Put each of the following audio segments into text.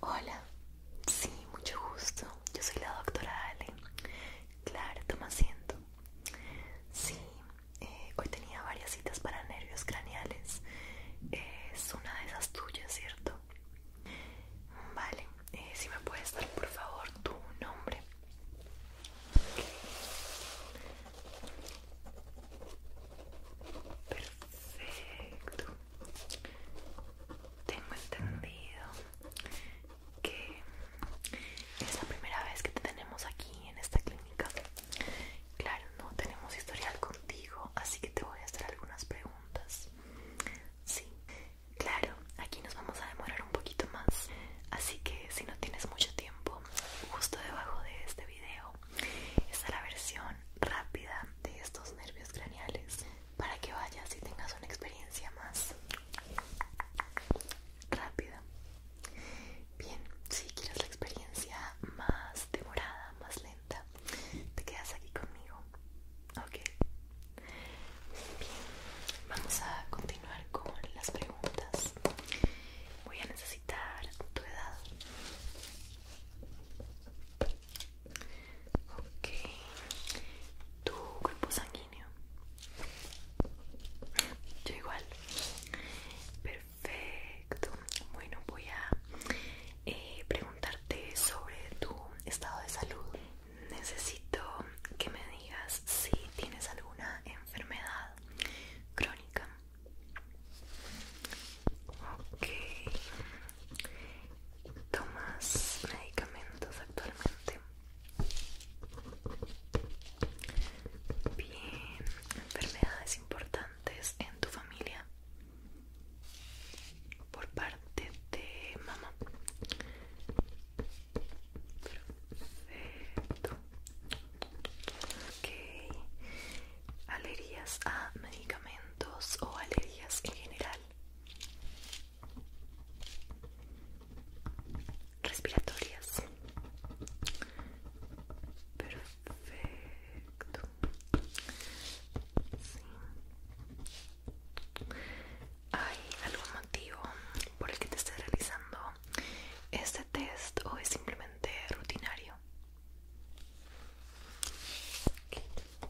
Hola, sí, mucho gusto. Yo soy la doctora Ale. Claro, toma asiento. Sí, eh, hoy tenía varias citas para nervios craneales. Es una de esas tuyas, ¿cierto? Vale, eh, si me puedes dar por favor tu nombre. Perfecto. Tengo entendido que es la primera vez que te tenemos aquí en esta clínica. Claro, no tenemos historial contigo, así que te voy a hacer algunas preguntas. Sí, claro, aquí nos vamos a demorar un poquito más. Así que si no tienes mucho tiempo, justo debajo de este video esta es la versión rápida de estos nervios craneales para que vayas y tengas una experiencia más rápida. Bien, si quieres la experiencia más demorada, más lenta, te quedas aquí conmigo. Ok. Bien, vamos a continuar con las preguntas. Voy a necesitar tu edad. Ok, tu grupo sanguíneo. Yo igual. Perfecto. Bueno, voy a eh, preguntarte sobre tu estado de salud. Necesito que me digas si tienes alguna enfermedad crónica Ok. ¿Tomas medicamentos actualmente? Bien. ¿Enfermedades importantes en tu familia? Por parte de mamá. Ok. ¿Alergias a medicamentos o alergias en general? Respiratorias. Perfecto. ¿Hay algún motivo por el que te esté realizando este test o es simplemente rutinario? Perfecto.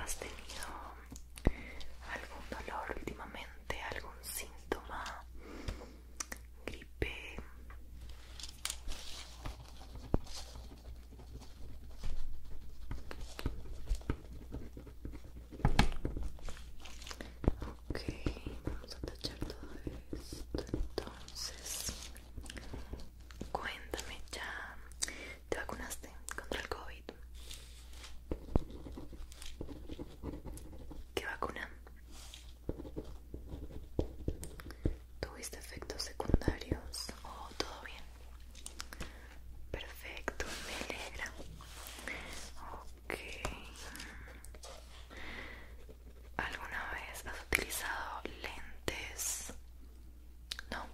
¿Has tenido algún dolor últimamente? ¿Algún síntoma? ¿Gripe? Ok, vamos a tachar todo esto. Entonces, cuéntame, ¿ya te vacunaste contra el COVID? ¿Qué vacuna? ¿Tuviste efectos secundarios o todo bien? Perfecto, me alegra. ¿Alguna vez has utilizado lentes? No.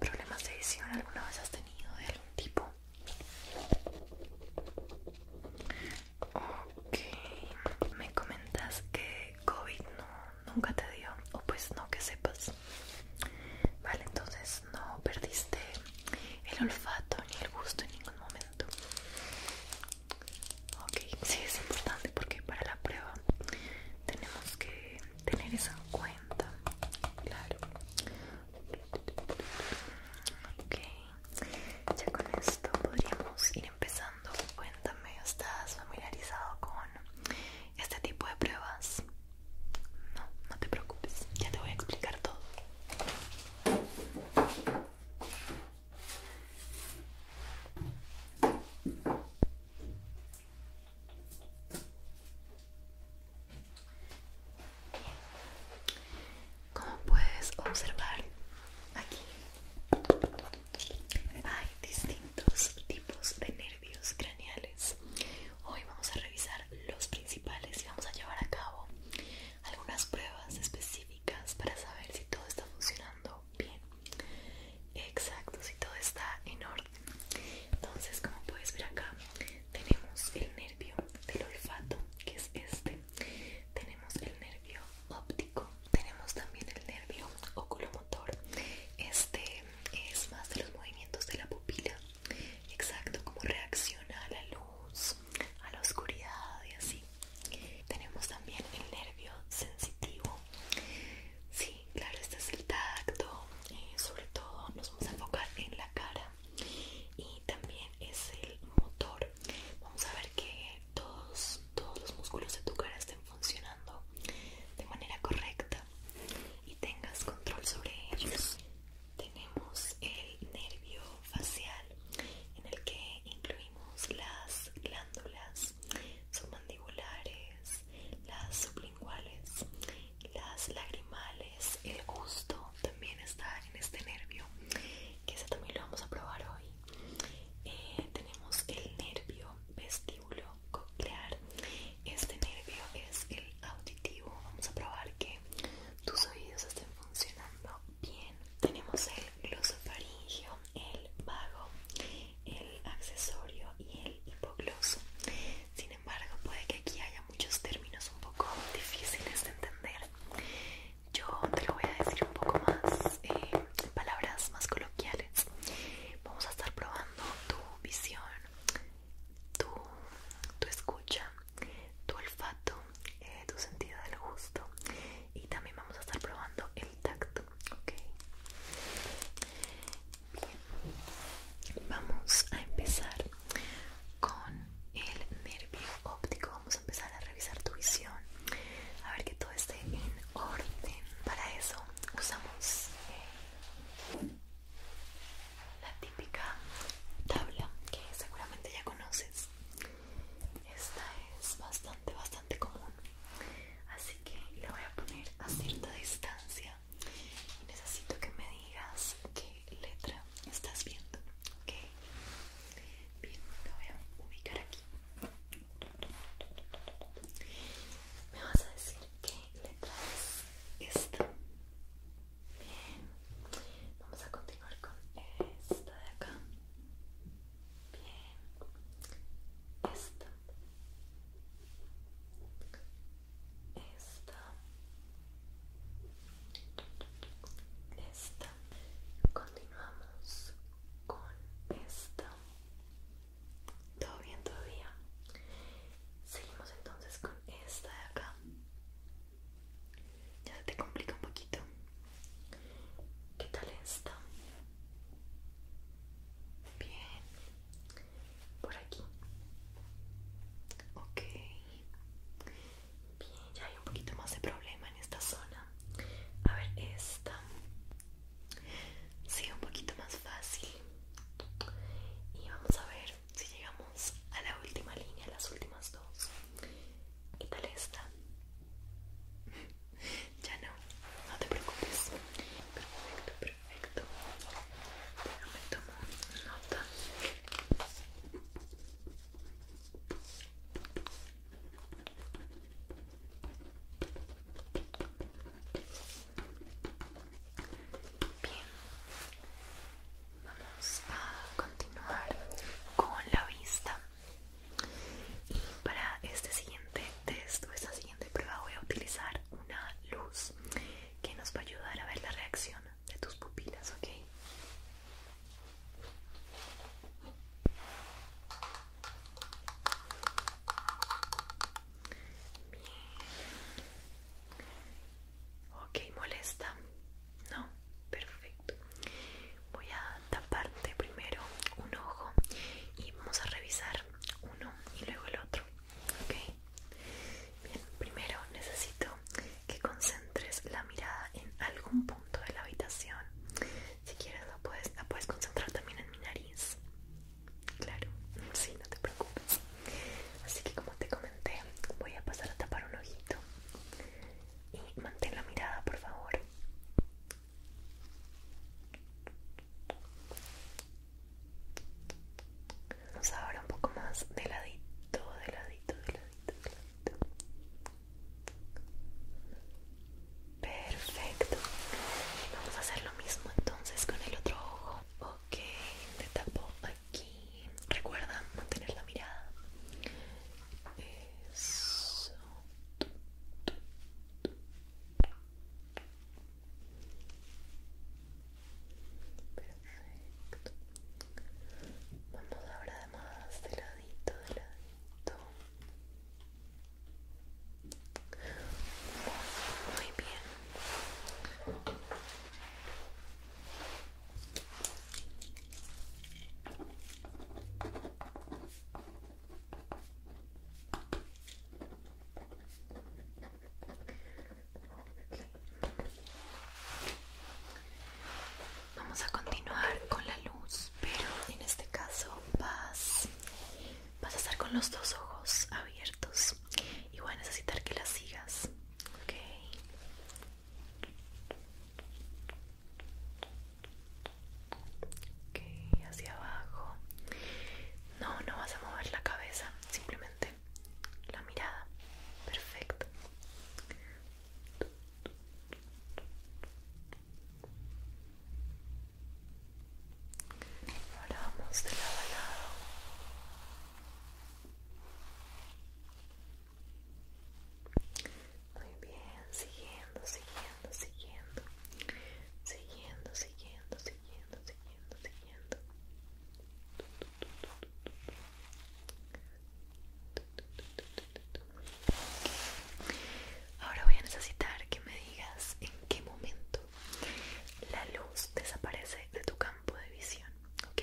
¿Problemas de visión alguna vez has tenido de algún tipo? Ok, me comentas que COVID no, nunca te dio, o pues no que sepas. Vale, entonces no perdiste el olfato ni el gusto en ningún momento. Ok, sí es importante porque para la prueba tenemos que tener eso en cuenta. Claro. Ok, ya con esto podríamos ir empezando. Cuéntame, ¿estás familiarizado con este tipo de pruebas? No, no te preocupes, ya te voy a explicar todo. Como puedes observar, aquí hay distintos tipos de nervios craneales. Hoy vamos a revisar los principales y vamos a llevar a cabo algunas pruebas específicas para saber si todo está funcionando bien. Exacto, si todo está en orden. Entonces, como puedes ver acá, tenemos el nervio del olfato, que es este tenemos el nervio óptico, tenemos también el nervio oculomotor. Este es más de los movimientos de la pupila, exacto, como reacciona a la luz, a la oscuridad y así. Tenemos también el nervio sensitivo. Sí, claro, este es el tacto, eh, sobre todo nos vamos a enfocar en la cara y también es el motor. Vamos a ver que todos, todos los músculos de tu cara estén funcionando de manera correcta y tengas control sobre ellos. Tenemos el nervio facial en el que incluimos las glándulas submandibulares, las sublinguales, las lagrimales es El gusto también está en este nervio, que ese también lo vamos a probar hoy. Eh, tenemos el nervio vestíbulo coclear. Este nervio es el auditivo. Vamos a probar que tus oídos estén funcionando bien. Tenemos el glosofaringio, el vago, el accesorio y el hipogloso. Sin embargo, puede que aquí haya muchos términos un poco difíciles de entender, yo te lo voy a decir un poco más eh, en palabras más coloquiales. Vamos a estar probando tu visión, tu, escucha, tu olfato, eh, tu sentido del gusto y también vamos a estar probando el tacto, ¿ok? Bien. Vamos a empezar con el nervio óptico vamos a empezar a revisar tu visión a ver que todo esté en orden para eso usamos eh, la típica tabla que seguramente ya conoces esta es bastante bastante común así que la voy a poner a cierta distancia y necesito que me digas que letra estás viendo, ok. Bien, te voy a ubicar aquí. Me vas a decir qué letra es esta. Bien, vamos a continuar con esta de acá. Bien, esta, esta, esta continuamos con esta todo bien todavía seguimos entonces con esta de acá ya se te complica un poquito ¿qué tal esta? bien por aquí ok Bien, ya hay un poquito más de problema en esta zona. A ver, esta. Sí, un poquito más fácil. Y vamos a ver si llegamos a la última línea, las últimas dos. ¿Qué tal esta? ya no, no te preocupes. Perfecto, perfecto. Bien, vamos a continuar con la vista. para este siguiente test o esta siguiente prueba voy a utilizar una luz que nos va a ayudar a ver la reacción de tus pupilas, ¿ok? Bien. Ok, molesta. No, perfecto. Voy a taparte primero un ojo y vamos a revisar uno y luego el otro. Ok. Bien, primero necesito que concentres la mirada en algún punto de la habitación. Si quieres, la puedes, concentrar también en mi nariz. Claro, sí, no te preocupes. Así que, como te comenté, voy a pasar a tapar un ojito. Y mantén la mirada, por favor nos ahora un poco más de ladito, de ladito, de ladito, Perfecto. Vamos a hacer lo mismo entonces con el otro ojo. Ok, te tapo aquí. Recuerda mantener la mirada. Perfecto. Vamos ahora además de ladito, de ladito. Muy bien. Vamos a continuar con la luz, pero en este caso vas, a estar con los dos ojos abiertos y voy a necesitar que la sigas. Ok. Ok, hacia abajo. No, no vas a mover la cabeza, simplemente la mirada. Perfecto. Ahora vamos de lado a lado. Muy bien, siguiendo, siguiendo, siguiendo. Siguiendo, siguiendo, siguiendo, siguiendo, siguiendo ahora voy a necesitar que me digas en qué momento la luz desaparece de tu campo de visión ok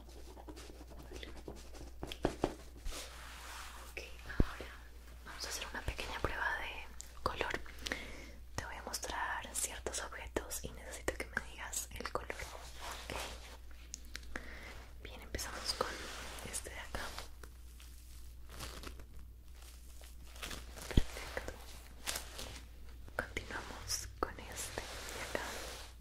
Ok, ahora vamos a hacer una pequeña prueba de color. Te voy a mostrar ciertos objetos y necesito que me digas el color. Ok. Bien, empezamos con este de acá. Perfecto. Continuamos con este de acá. Bien.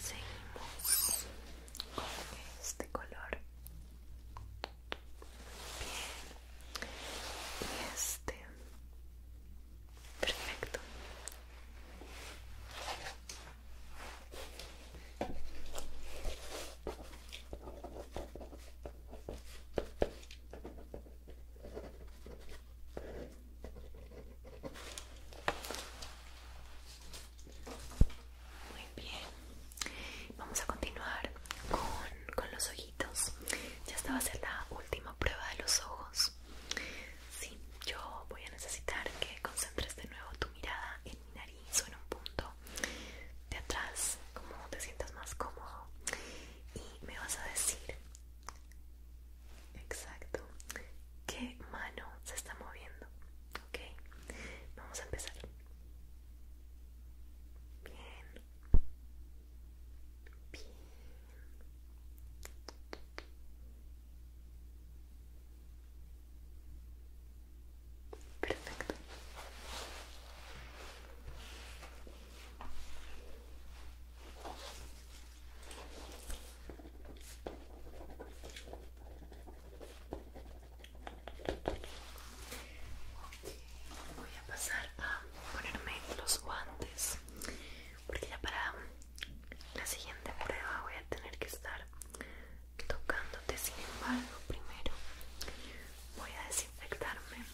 Seguimos con este color. Bien. Y este. Perfecto. Muy bien, vamos a continuar con, los ojitos. Ya esta va a ser la última prueba de los ojos. Sí, yo voy a necesitar que concentres de nuevo tu mirada en mi nariz o en un punto de atrás como te sientas más cómodo y me vas a decir exacto qué mano se está moviendo ok vamos a empezar bien bien Perfecto. Voy a pasar a ponerme los guantes porque ya para la siguiente prueba voy a tener que estar tocándote sin embargo primero voy a desinfectarme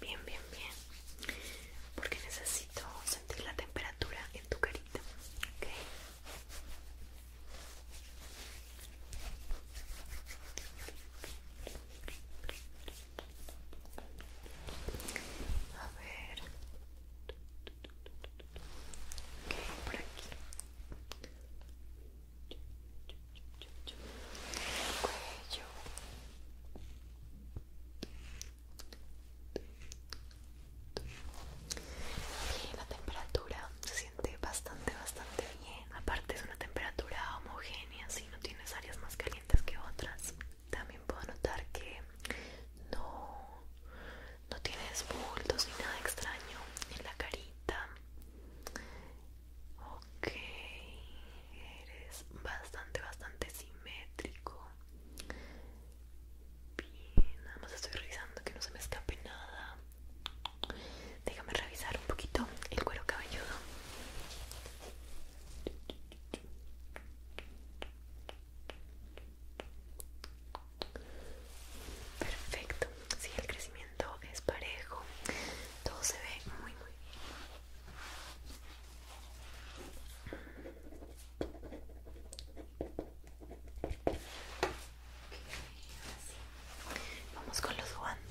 Bien, bien, bien. Porque necesito sentir la temperatura en tu carita. A ver. Ok, por aquí cuello la temperatura se siente bastante bastante bien aparte es una temperatura homogénea si no tienes áreas más calientes que otras también puedo notar que no no tienes bultos ni nada extraño en la carita Ok, eres bastante, bastante simétrico. Bien, nada más estoy revisando que no se me escape nada. Déjame revisar un poquito el cuero cabelludo. Perfecto. Sí, el crecimiento es parejo. Todo se ve muy, muy bien. Vamos con los guantes.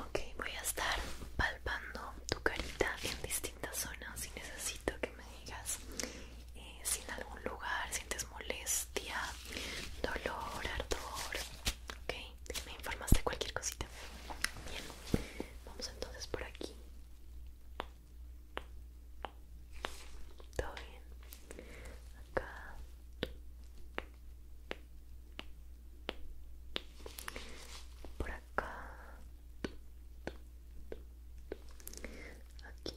Ok, voy a estar palpando tu carita en distintas zonas y necesito que me digas eh, si en algún lugar sientes molestia, dolor, ardor. Ok, me informas de cualquier cosita. Bien, vamos entonces por aquí. Todo bien. Acá. Por cá, aqui,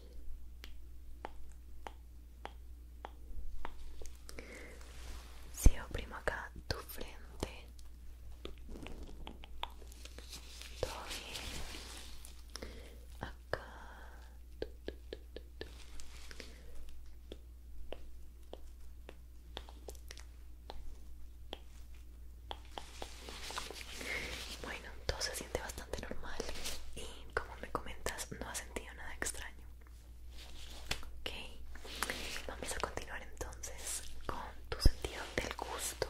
siempre acá tu frente, todo bien, bueno todo se siente bastante normal y como me comentas no has sentido nada extraño ok vamos a continuar entonces con tu sentido del gusto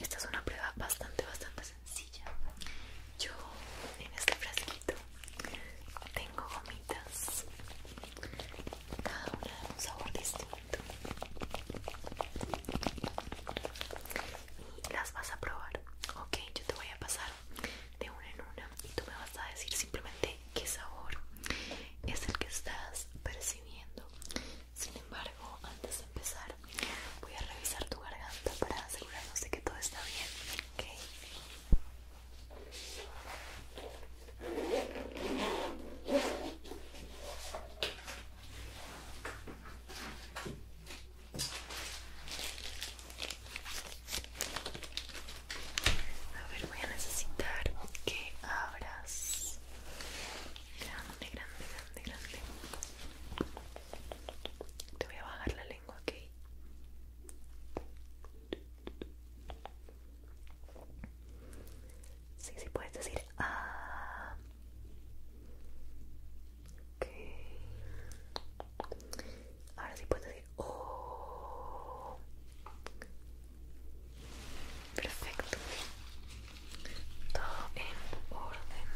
esta es una prueba bastante bastante sencilla yo en este frasquito tengo gomitas, cada una de un sabor distinto. Y las vas a probar. Ok, yo te voy a pasar de una en una y tú me vas a decir simplemente qué sabor es el que estás percibiendo. Sin embargo, antes de empezar, voy a revisar tu garganta para asegurarnos de que todo está bien. A ver, voy a necesitar que abras grande, grande, grande, grande. Te voy a bajar la tengo aquí sí, sí puedes decir ah ok ahora sí puedes decir oh perfecto todo en orden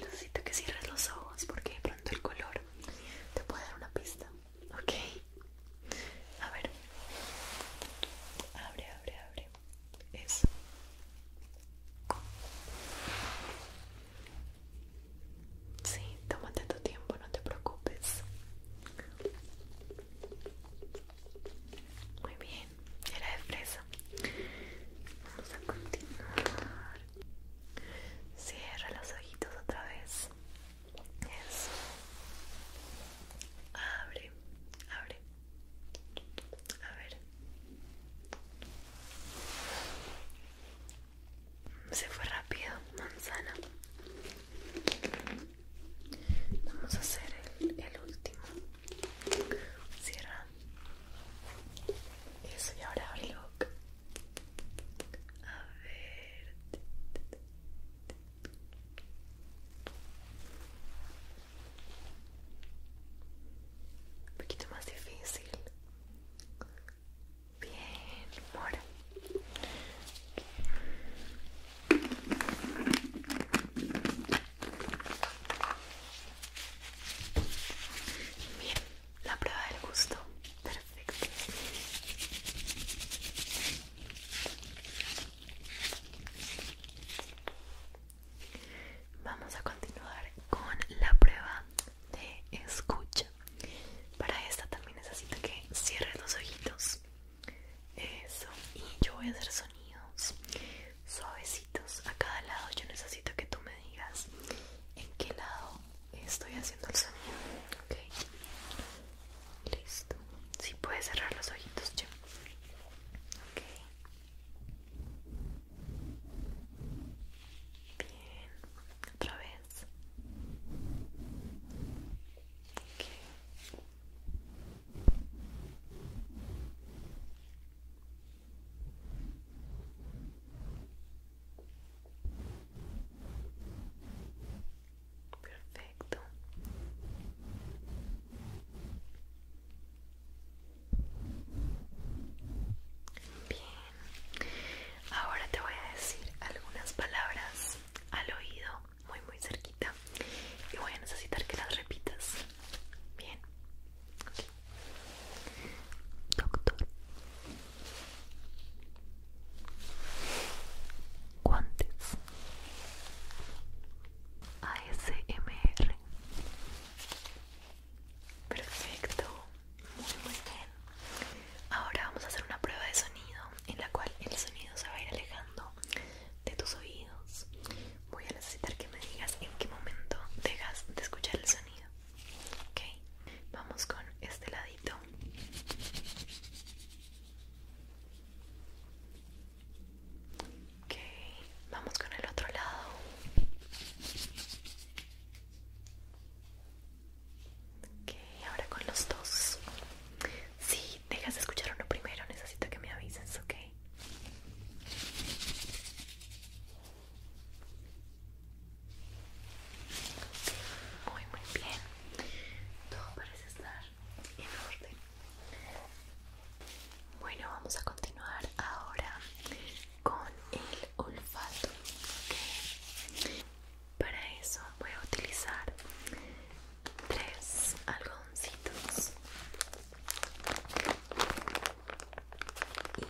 Necesito que cierres los ojos porque pronto el color te puede dar una pista. Ok. A ver. Abre, abre, abre. Eso. Sí, tómate tu tiempo, no te preocupes. Muy bien, era de fresa. Vamos a continuar. Cierra los ojitos otra vez. Eso. Abre, abre. A ver. Se fue rápido, manzana. Vamos a hacer el, último. Cierra. Eso y ahora abre A ver. Un poquito más difícil. Bien, ahora. Bien, la prueba del gusto. Perfecto. Vamos a continuar con la prueba de escucha. Para esta también necesito que cierre los ojitos eso, y yo voy a hacer sonidos suavecitos a cada lado. Yo necesito que tú me digas en qué lado estoy haciendo el sonido. Ok, listo. Si puedes cerrar los ojitos, yo. Ok, bien, otra vez. Ok Perfecto. Bien. Ahora te voy a decir algunas palabras al oído muy muy cerquita y voy a necesitar que las repitas bien doctor guantes ASMR perfecto muy muy bien ahora vamos a hacer una prueba de sonido en la cual el sonido se va a ir alejando de tus oídos. Voy a necesitar que me digas en qué momento dejas de escuchar el sonido. Ok, vamos con este ladito. Ok, vamos con el otro lado. Ok, ahora con los dos. Si dejas de escuchar uno primero, necesito que me avises, ¿ok? Muy, muy bien. Todo parece estar en orden. Bueno, vamos a continuar ahora con el olfato. ¿ok? Para eso voy a utilizar tres algodoncitos y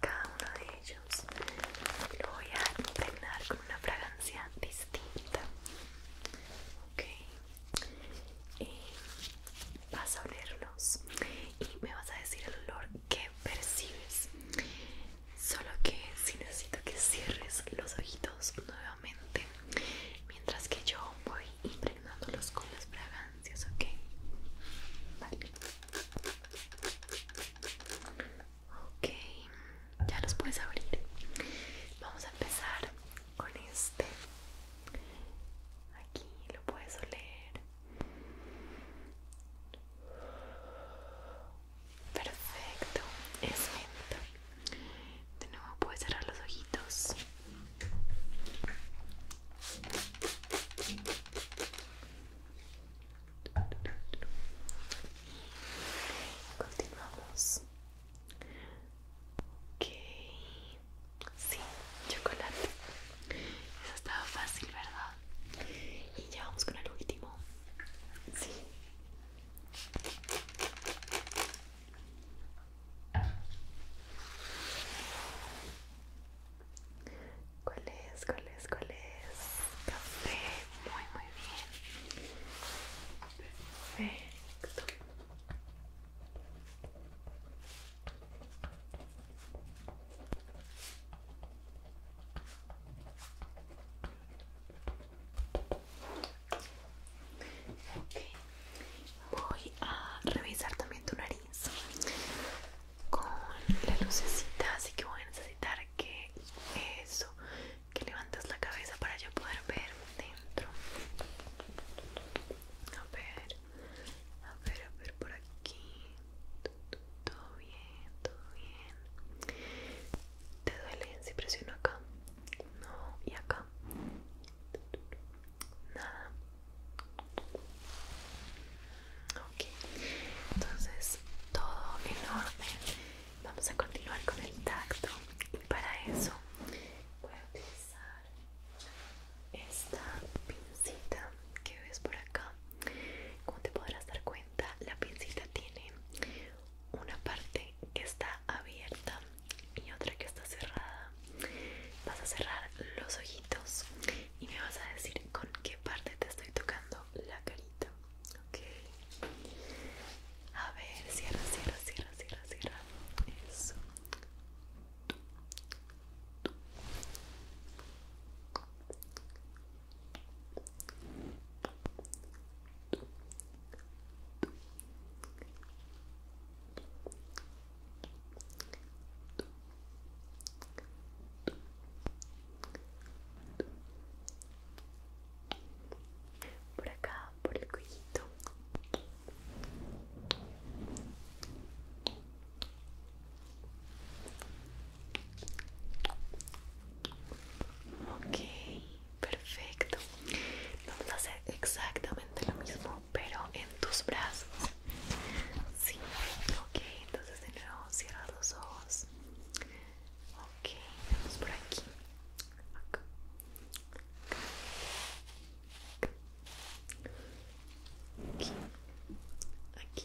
cada uno de ellos lo voy a impregnar con una fragancia distinta. Ok, vas a olerlos y me vas a decir el olor que percibes. Solo que si necesito que cierres los ojitos nuevamente mientras que yo voy impregnándolos con las fragancias, ¿ok? Vale. Ok, ya los puedes abrir. Vamos a empezar con este. Aquí lo puedes oler. Perfecto, es menta. De nuevo puedes cerrar los ojitos. Continuamos. Ok. Sí, chocolate. Eso estaba fácil, ¿verdad? Y ya vamos con el último. Sí. ¿Cuál es? ¿Cuál es? ¿Cuál es? Café. Muy, muy bien. Perfecto. Ok, Voy a revisar también tu nariz con la lucecita, así que voy a necesitar que eso, que levantes la cabeza para yo poder ver dentro. A ver, a ver, a ver por aquí. Todo bien, todo bien. ¿Te duele si presiono acá? No, y acá. Nada. Ok, entonces todo enorme Vamos a continuar con el tacto. Y para eso voy a utilizar esta pinzita que ves por acá. Como te podrás dar cuenta, la pincita tiene una parte que está abierta y otra que está cerrada. Vas a cerrar los ojitos y me vas a decir con qué parte te estoy tocando la carita. Ok. A ver, cierra, cierra, cierra, cierra, cierra. Eso por acá por el cuellito Ok, perfecto. Vamos a hacer exactamente lo mismo, pero en tus brazos. Sí, ok, entonces de nuevo cierra los ojos. Ok, vamos por aquí. Acá. Aquí. Aquí. Aquí.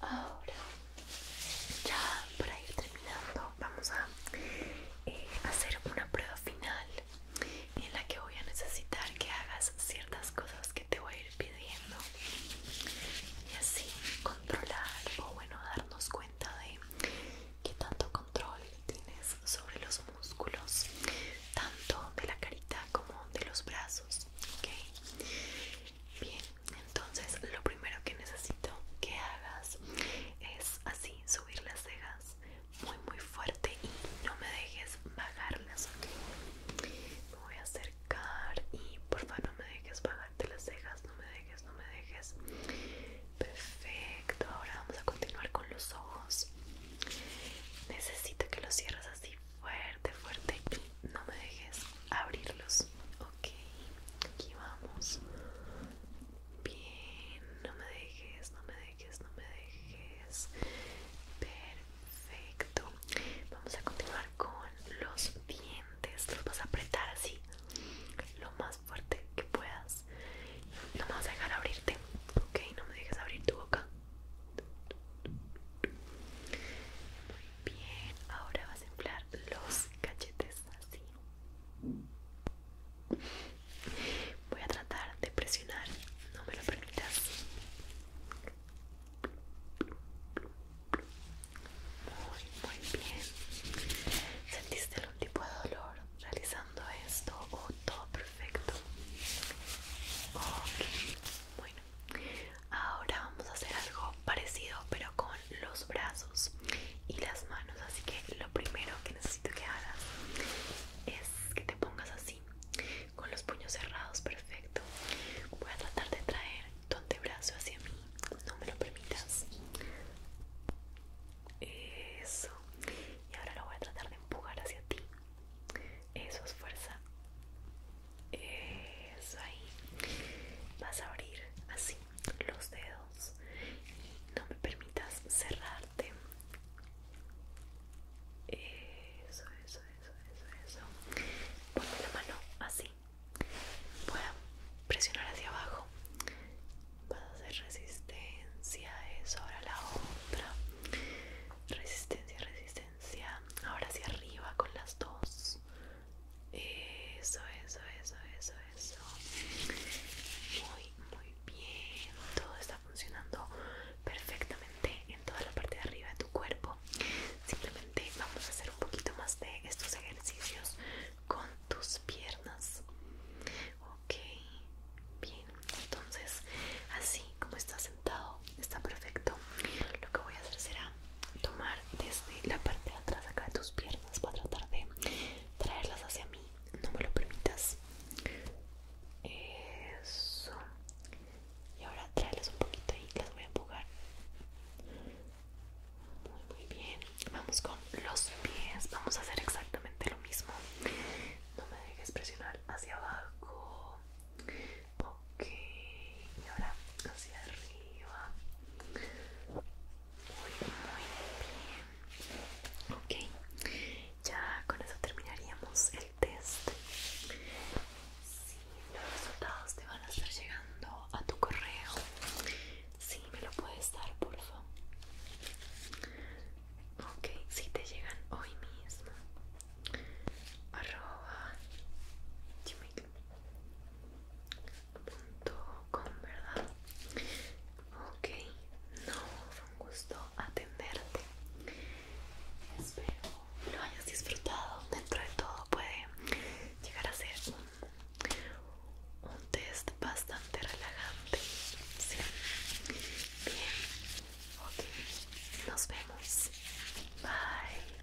Ahora, ya para ir terminando, vamos a eh, hacer una prueba final en la que voy a necesitar que hagas ciertas cosas que te voy a ir pidiendo y así controlar o bueno darnos cuenta de qué tanto control tienes sobre los músculos tanto de la carita como de los brazos ok bien entonces lo primero que necesito que hagas es así, subir las cejas muy muy fuerte y no me dejes bajarlas, ok. Me voy a acercar y favor no me dejes bajarte las cejas, no me dejes, no me dejes. Perfecto, ahora vamos a continuar con los ojos. Necesito que los cierres así fuerte, fuerte y no me dejes abrirlos, Ok, aquí vamos. Bien, no me dejes, no me dejes, no me dejes. Perfecto. Vamos a continuar con los dientes. Los vas a apretar así, lo más fuerte que puedas. No me vas a dejar abrirte. Ok, no me dejes abrir tu boca. Bien, ahora vas a inflar los cachetes así. Voy a tratar de presionar, no me lo permitas. Muy, muy bien. ¿Sentiste algún tipo de dolor realizando esto oh, todo perfecto? Ok, Ahora vamos a hacer algo parecido pero con los brazos y las manos. Así que lo primero que necesito que hagas es que te pongas así, con los puños cerrados, perfecto. Voy a tratar de traer tu brazo hacia mí, no me lo permitas. Eso. Y ahora lo voy a tratar de empujar hacia ti. Eso es fuerza. Eso ahí. Vas a abrir así los dedos no me permitas cerrarte. Eso, eso, eso, eso, eso. Ponme la mano así. Voy a presionar hacia abajo. Vas a hacer resistencia. Eso, ahora la otra. Resistencia, resistencia. Ahora hacia arriba con las dos. Eso, eso, eso, eso, eso. Muy, muy bien. Todo está funcionando perfectamente en toda la parte de arriba de tu cuerpo. Simplemente vamos a hacer un poquito más de estos ejercicios con tus piernas. Ok, bien. Entonces, así como está sentado, está perfecto. Lo que voy a hacer será tomar desde la parte de atrás acá de tus piernas para tratar de traerlas hacia mí. No me lo permitas. Eso. Y ahora tráelas un poquito ahí, las voy a empujar. Muy, muy bien. Vamos con los pies. Vamos a hacer exactamente lo mismo. No me dejes presionar hacia abajo ok y ahora hacia arriba muy muy bien ok ya con eso terminaríamos el test si sí, los resultados te van a estar llegando a tu correo si sí, me lo puedes dar por favor ok si te llegan hoy mismo arroba punto com, ¿verdad? Ok, no, fue un gusto atenderte. Espero lo hayas disfrutado. Dentro de todo puede llegar a ser un, test bastante relajante. Sí. Bien, ok, nos vemos. Bye.